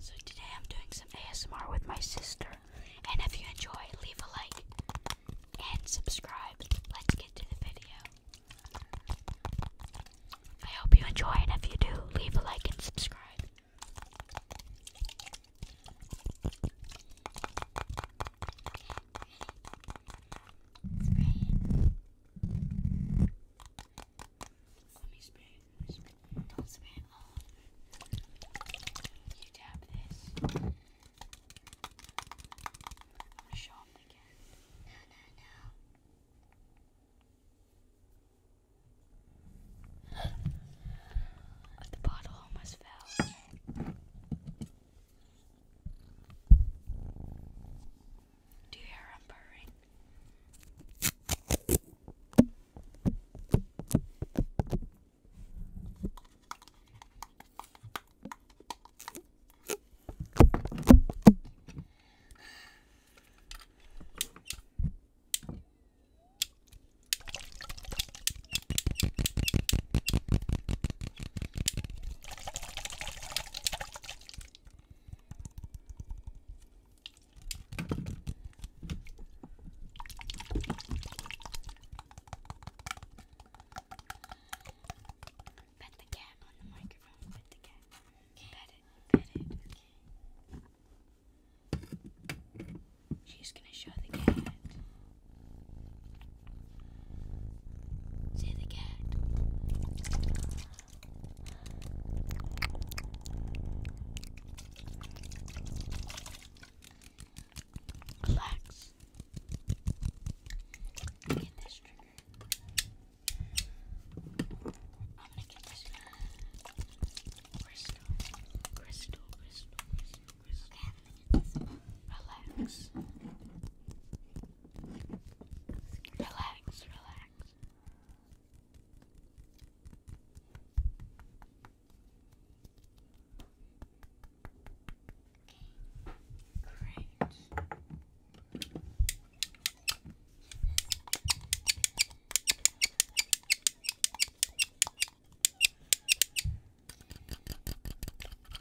So today I'm doing some ASMR with my sister. And if you enjoy, leave a like and subscribe. Let's get to the video. I hope you enjoy, and if you do, leave a like and subscribe. Let me spray. Don't spray it You tap this. show him again. The bottle almost fell. Do you hear him purring? Pet the cat on the microphone. Pet the cat. Okay. Pet it. Pet it. Okay. She's gonna show the cat. Say the cat. Relax. Get this trigger. I'm gonna get this crystal, crystal, crystal, crystal, crystal. Okay, I'm gonna get this. Relax. Relax, relax. Great.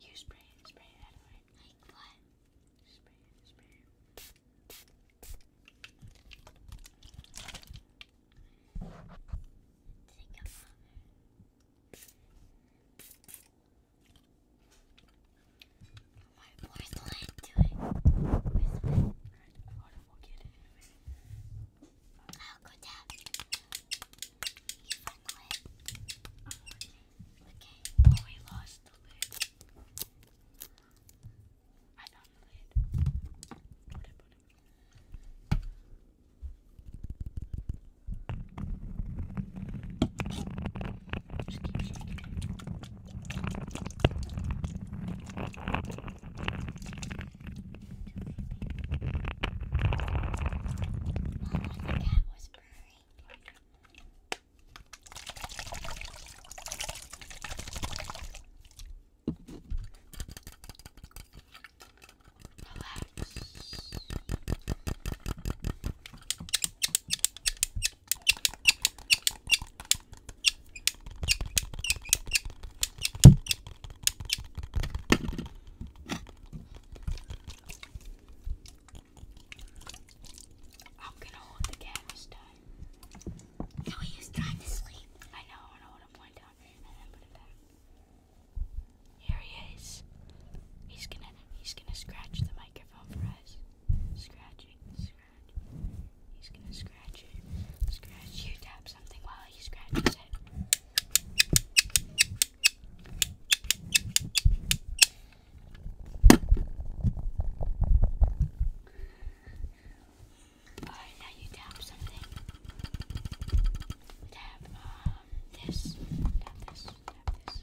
You spray it, spray it anyway. Like what? Spray spray it. Take my boy's lying to it. I'll go down. You funnel it. Okay. Oh, we lost the lid. I found the lid. Put it, put the cat was purring. Relax. I'm gonna hold the camera's time. No, oh, he was trying to sleep. I know, I know what i down and then put it back. Here he is. He's gonna he's gonna scratch the microphone for us. Scratching, scratch. He's gonna scratch scratch Scratch. You tap something while he scratches it. Alright, now you tap something. Tap um this. Tap this. Tap this.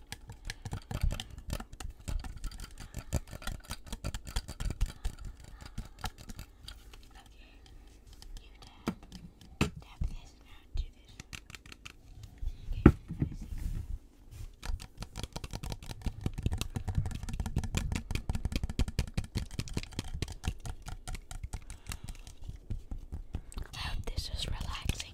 you tap. Tap this now do this. This is relaxing.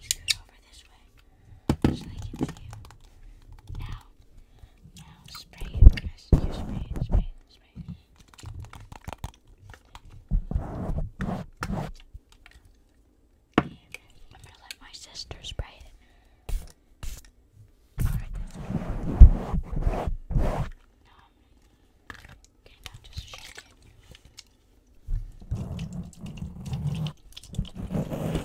Just go over this way so they can see you. Now, now spray it. Yes, you spray it, spray it, spray it. And I'm gonna let my sister spray it. Alright, that's good. Now, okay, now just shake it. Okay,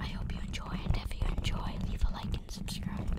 I hope you enjoy, and if you enjoy, leave a like and subscribe. Okay.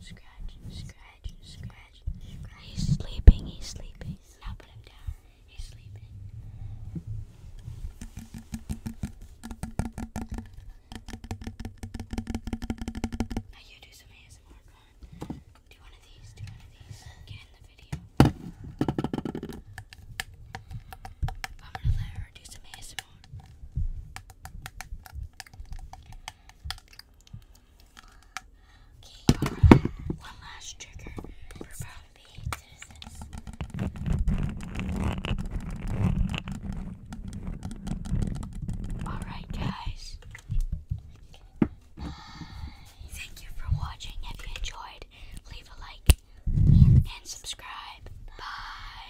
Scratch, scratch, scratch, He's sleeping, he's sleeping. Now put him down. He's sleeping. Now you do some ASMR, Do one of these, do one of these. Get in the video. I'm gonna let her do some ASMR one last trigger Alright, guys. thank you for watching. If you enjoyed, leave a like and subscribe. Bye.